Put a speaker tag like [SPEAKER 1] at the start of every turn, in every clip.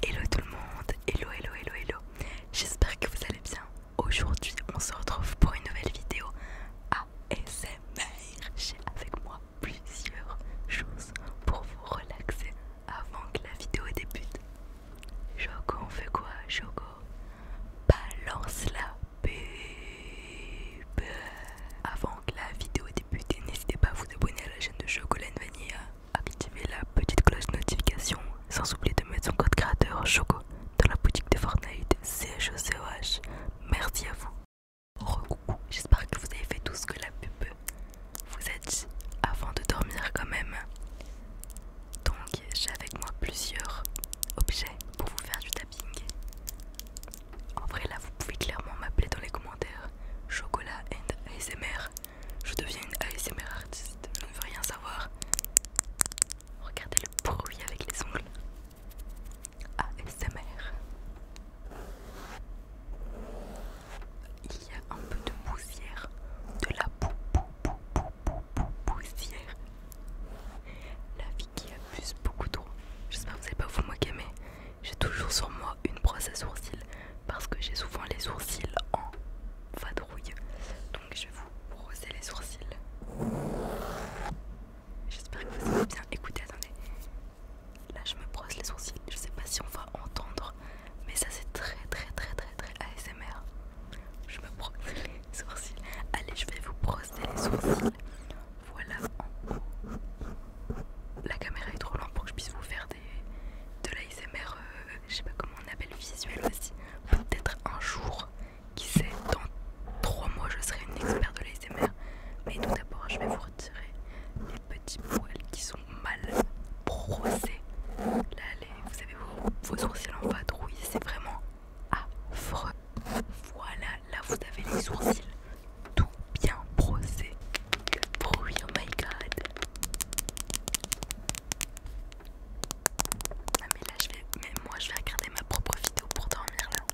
[SPEAKER 1] Hello tout le monde, hello hello hello hello J'espère que vous allez bien Aujourd'hui on se retrouve pour une nouvelle vidéo ASMR J'ai avec moi plusieurs choses pour vous relaxer avant que la vidéo débute Choco on fait quoi Choco Balance la pub Avant que la vidéo débute n'hésitez pas à vous abonner à la chaîne de Chocolat Vanilla Activez la petite cloche notification sans oublier de mettre son code créateur Choco dans la boutique de Fortnite CHOCOH. Merci à vous. J'espère que vous avez fait tout ce que la pub vous a dit avant de dormir quand même. Donc j'ai avec moi plusieurs objets pour vous faire du tapping. En vrai là vous pouvez clairement m'appeler dans les commentaires Chocolat and ASMR. Je deviens une ASMR artiste, je ne veux rien savoir. Regardez le bruit avec les ongles. ASMR. Il y a un peu de poussière, de la poussière. La vie qui abuse beaucoup trop. J'espère que vous n'avez pas vous qui aimez. j'ai toujours sur moi une brosse à sourcils parce que j'ai souvent les sourcils en vadrouille. Donc je vais vous brosser les sourcils. J'espère que vous allez bien écoutez Attendez. Là je me brosse les sourcils. Je sais pas si on va entendre, mais ça c'est très très très très très ASMR. Je me brosse les sourcils. Allez, je vais vous brosser les sourcils. Voilà. La caméra est trop lente pour que je puisse vous faire des de l'ISMR euh, je sais pas comment on appelle, visuel aussi. Peut-être un jour, qui sait, dans trois mois je serai une expert de l'ISMR Mais tout d'abord, je vais vous retirer les petits poils qui sont mal brossés. Là, les, vous avez vos, sourcils en vadrouille, c'est vraiment affreux. Voilà, là vous avez les sourcils tout bien brossés. Le bruit, oh my god! Ah, mais là je vais... Mais moi je vais regarder ma propre vidéo pour dormir là.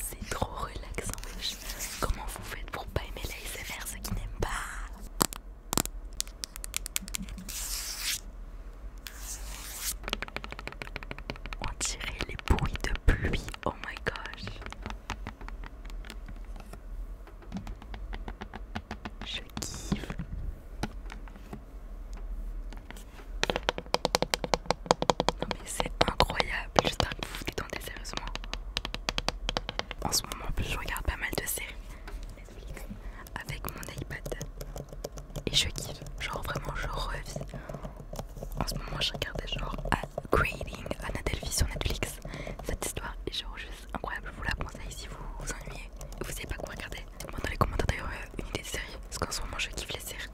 [SPEAKER 1] C'est trop relaxant, Comment vous faites pour pas aimer les l'ASMR ceux qui n'aiment pas On dirait les bruits de pluie, oh my gosh Je kiffe Non mais c'est incroyable, Juste un vous de sérieusement. En ce moment, en plus, je regarde pas mal de séries Netflix avec mon iPad et je kiffe. Genre, vraiment, je revis. En ce moment, je regardais genre Upgrading ah, Anadelphi sur Netflix. Cette histoire est genre juste incroyable. Je vous la conseille si vous vous ennuyez et vous savez pas quoi regarder. Dites-moi dans les commentaires d'ailleurs euh, une idée de série parce qu'en ce moment, je kiffe les séries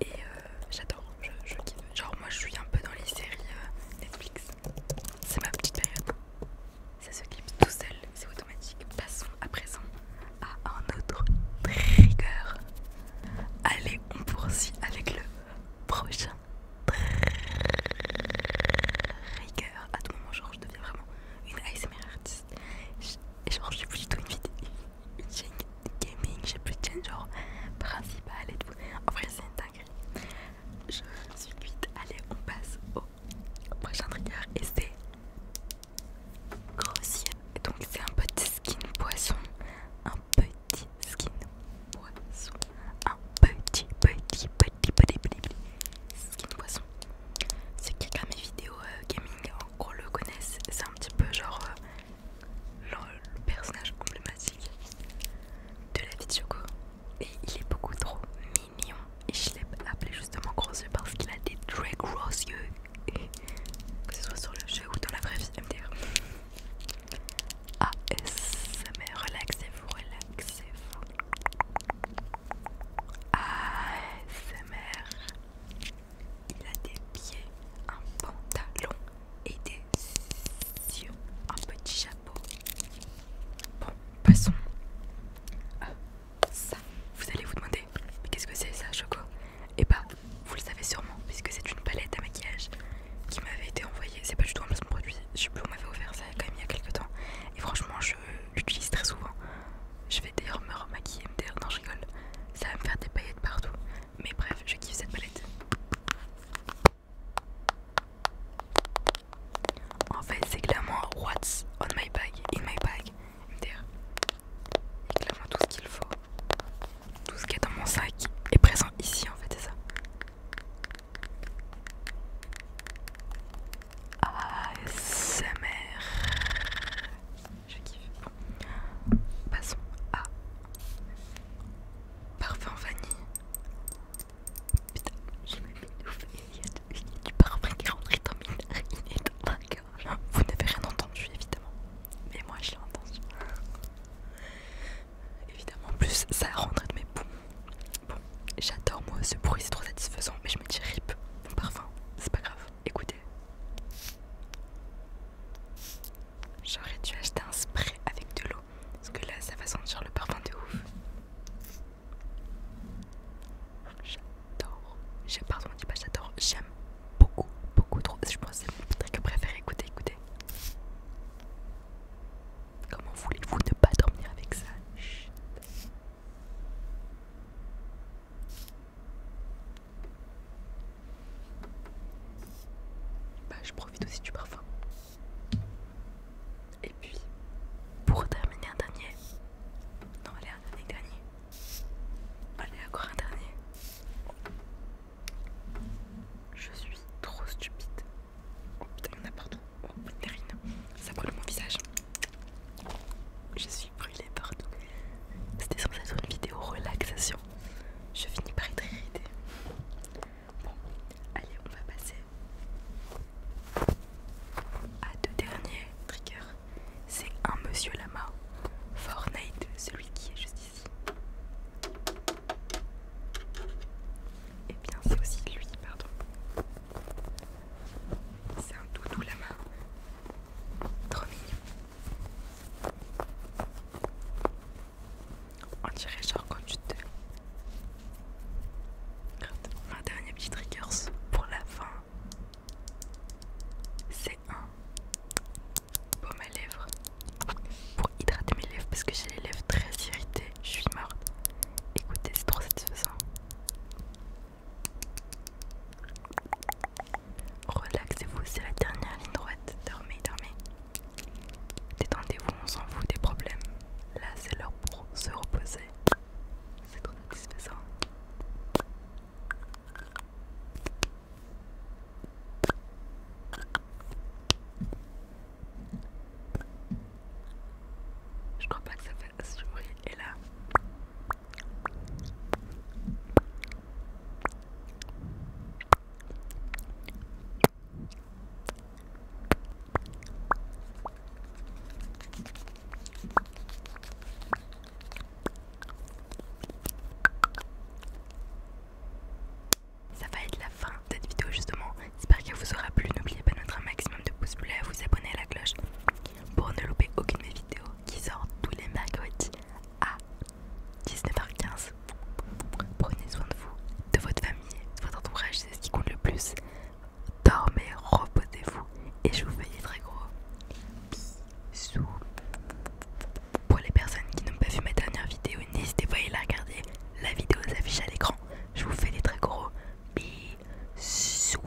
[SPEAKER 1] et euh, euh, j'adore, je, kiffe. Genre, moi je suis un peu dans les séries euh, Netflix, c'est ma petite période. Ça se clip tout seul, c'est automatique. Passons à présent à un autre trigger. Allez, on poursuit avec le prochain trigger. À tout moment, genre, je deviens vraiment une ASMR artiste. Et genre, je suis plus du tout une vidéo, une chaîne gaming, j'ai plus de chaîne genre principale et tout. En vrai, c'est une Je suis vite Allez, on passe au prochain trigger et c'est grossier. Donc, c'est un petit skin poisson. Un petit skin poisson. Un petit, petit, petit, petit, petit, skin poisson. Ceux qui regardent mes vidéos euh, gaming, on le connaissent. C'est un petit peu genre. Euh, le, personnage emblématique de la vie de Choco. Et il est beaucoup trop mignon. Et je l'ai appelé justement gros yeux parce qu'il a des très gros yeux. Et que ce soit sur le jeu ou dans la vraie vie, dire ASMR, relaxez-vous, relaxez-vous. ASMR. Il a des pieds, en pantalon et des yeux, un petit chapeau. Bon, passons. à ah, ça, vous allez vous demander, mais qu'est-ce que c'est ça, Choco Et eh bah, vous le savez sûrement, puisque c'est une palette à maquillage qui m'avait été envoyée. C'est pas du tout un placement produit, je sais plus, on m'avait offert ça quand même il y a quelques temps. Et franchement, je l'utilise très souvent. Je vais d'ailleurs me remaquiller, maquiller non, je rigole. Ça va me faire des paillettes partout. Mais bref, je kiffe cette palette. En fait, c'est clairement what's on my bag, in my bag, clairement tout ce qu'il faut, tout ce qui est dans mon sac est présent ici en fait, c'est ça. ah mère. Je kiffe. Passons à parfum vanille. Putain, j'ai même ouf il y a du, parfum qui rentre dans mes Vous n'avez rien entendu évidemment, mais moi je l'ai entendu. Évidemment, en plus ça rentre de mes poumons. Bon, j'adore moi ce bruit, c'est trop satisfaisant, mais je me dis rip, mon parfum, c'est pas grave, écoutez. J'aurais dû acheter un spray avec de l'eau, parce que là ça va sentir le parfum de ouf. J'adore. Pardon, on pas j'adore. J'aime beaucoup, beaucoup trop. Je pense que c'est mon truc préféré. Écoutez, écoutez. Comment voulez-vous ne pas dormir avec ça bah, je profite aussi du parfum. Et puis, pour terminer un dernier. Non, allez, un dernier, dernier. Allez, encore un dernier. Je suis trop stupide. Oh putain, il y en a partout. Oh, Ça brûle mon visage. Je suis brûlée partout. C'était censé être une vidéo relaxation. Je finis par être irritée. Bon, allez, on va passer à deux derniers triggers. C'est un monsieur lama, Fortnite, celui qui est juste ici. Et eh bien, c'est aussi lui, pardon. C'est un doudou lama. Trop mignon. On dirait genre quand tu te... Un dernier petit trigger pour la fin. C'est un Pour mes lèvres pour hydrater mes lèvres parce que j'ai les lèvres très irritées. Je suis morte. Écoutez, c'est trop satisfaisant. Relaxez-vous, c'est la dernière ligne droite. Dormez, dormez. Détendez-vous, on s'en fout des problèmes. Là, c'est l'heure pour se reposer. C'est trop satisfaisant. Je crois pas que ça fasse ce Et là, ça va être la fin de cette vidéo justement. J'espère qu'elle vous aura plu. N'oubliez pas de mettre un maximum de pouces bleus, vous abonner à la cloche pour ne louper aucune de mes vidéos qui sortent tous les mercredis à 19h15. Prenez soin de vous, de votre famille, de votre entourage, c'est ce qui compte le plus. Dormez, reposez-vous et je vous fais des très gros bisous. Pour les personnes qui n'ont pas vu ma dernière vidéo, n'hésitez pas à aller la regarder. La vidéo s'affiche à l'écran. Je vous fais des très gros bisous.